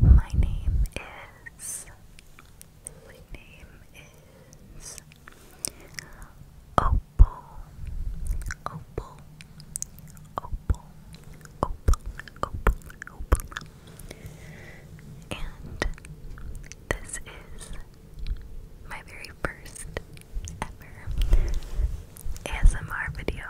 My name is. My name is. Opal. Opal. Opal. Opal. Opal. Opal. And this is my very first ever ASMR video.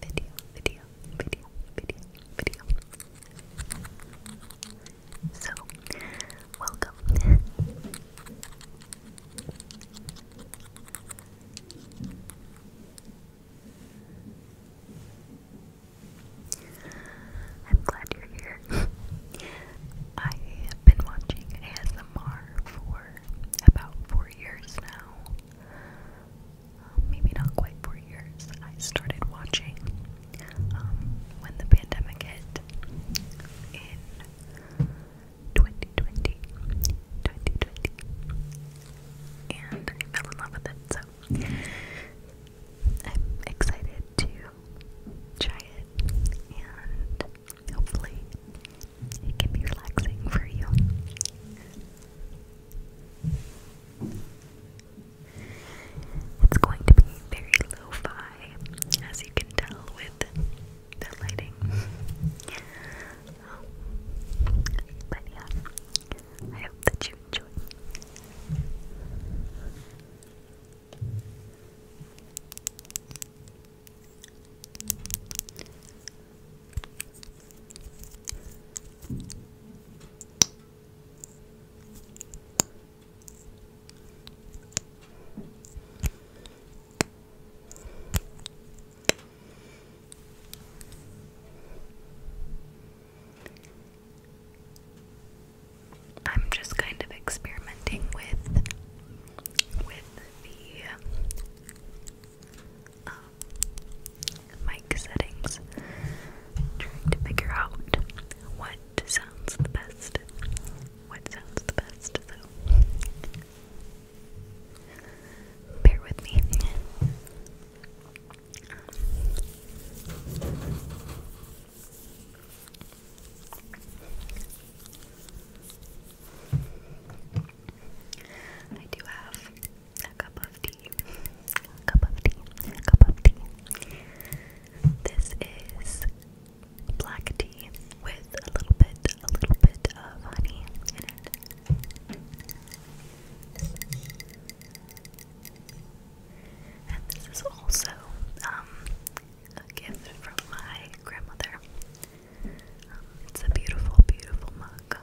Video, video, video, video, video. So, welcome. I'm glad you're here. I have been watching ASMR for about four years now. Um, maybe not quite four years, I started watching um, when the pandemic hit in 2020. And I fell in love with it, so I'm excited to try it Hopefully, it can be relaxing for you. It's going to be very lo as you can tell with the lighting. but yeah, I hope that you enjoy. I'm just kind of experimenting with with the um, mic settings, trying to figure out what sounds the best. What sounds the best, so bear with me. I do have a cup of tea. cup of tea. cup of tea. This is black tea with a little bit, a little bit of honey in it. And this is also um, a gift from my grandmother. Um, it's a beautiful, beautiful mug.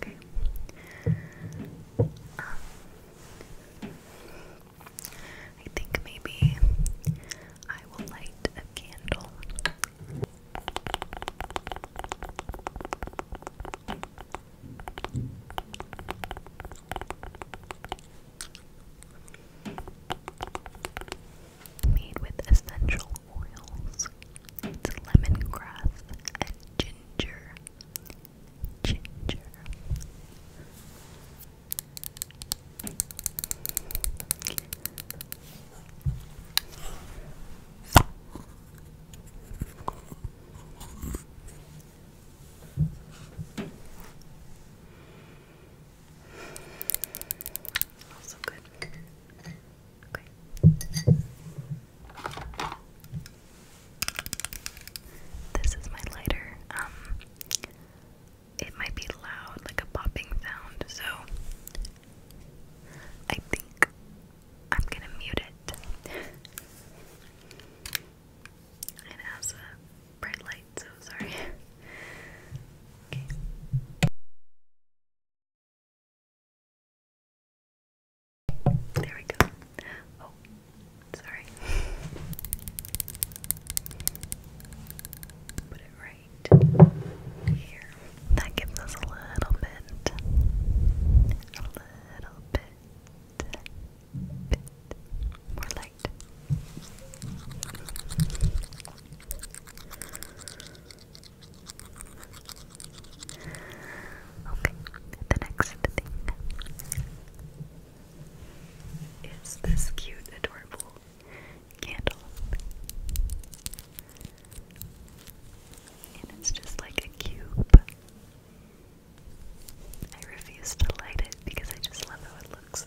Okay. Um, I think maybe I will light a candle. Made with essential oils. It's lemongrass and ginger. Ginger. Also good. This is my lighter. Um, it might be loud, like a popping sound, so I think I'm gonna mute it. it has a bright light, so sorry. okay. There we go. Oh, sorry. Put it right here. That gives us a little bit, a little bit, bit more light. Okay, the next thing is this cute, adorable candle. And it's just like a cube. I refuse to light it because I just love how it looks.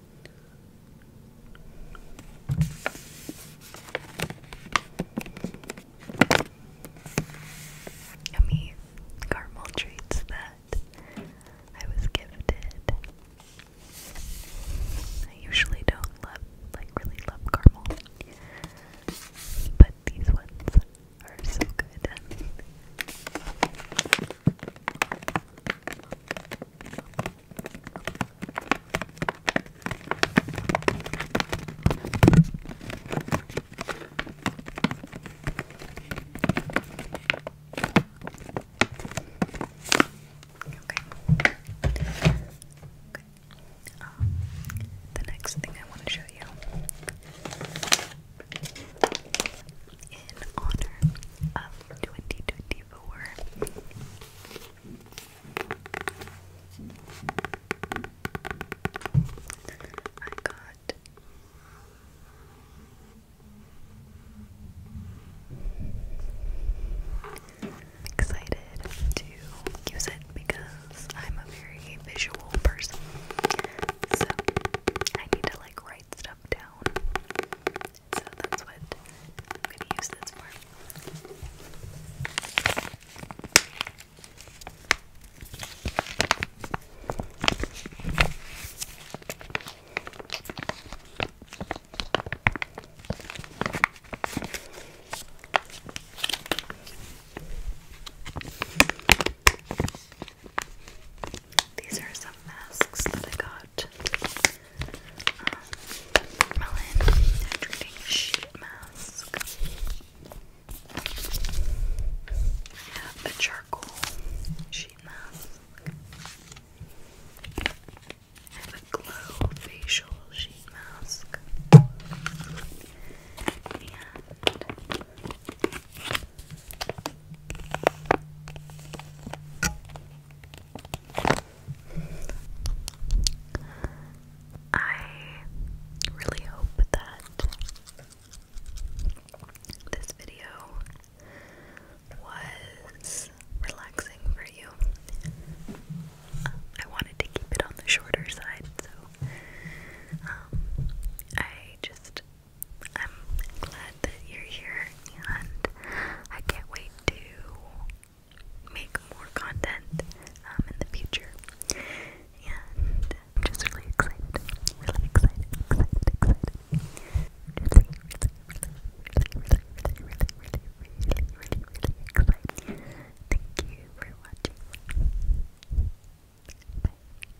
Yummy caramel treats that I was gifted. I usually don't love, like, really love caramel, but these ones are so good. Okay. Okay. Um, the next thing I want to show you in honor of 2024. I got excited to use it because I'm a very visual person. So I need to like write stuff down so that's what I'm going to use this for. These are some masks that I got. Um, melon hydrating sheet mask. I have a charcoal sheet mask. I have a glow facial sheet mask. I really hope that this video was relaxing for you. I wanted to keep it on the shorter side, so um, I just I'm glad that you're here and I can't wait to make more content in the future. And I'm just really excited. Really excited, excited, excited. really, really, really, really, really, really, really, really, excited. Thank you for watching.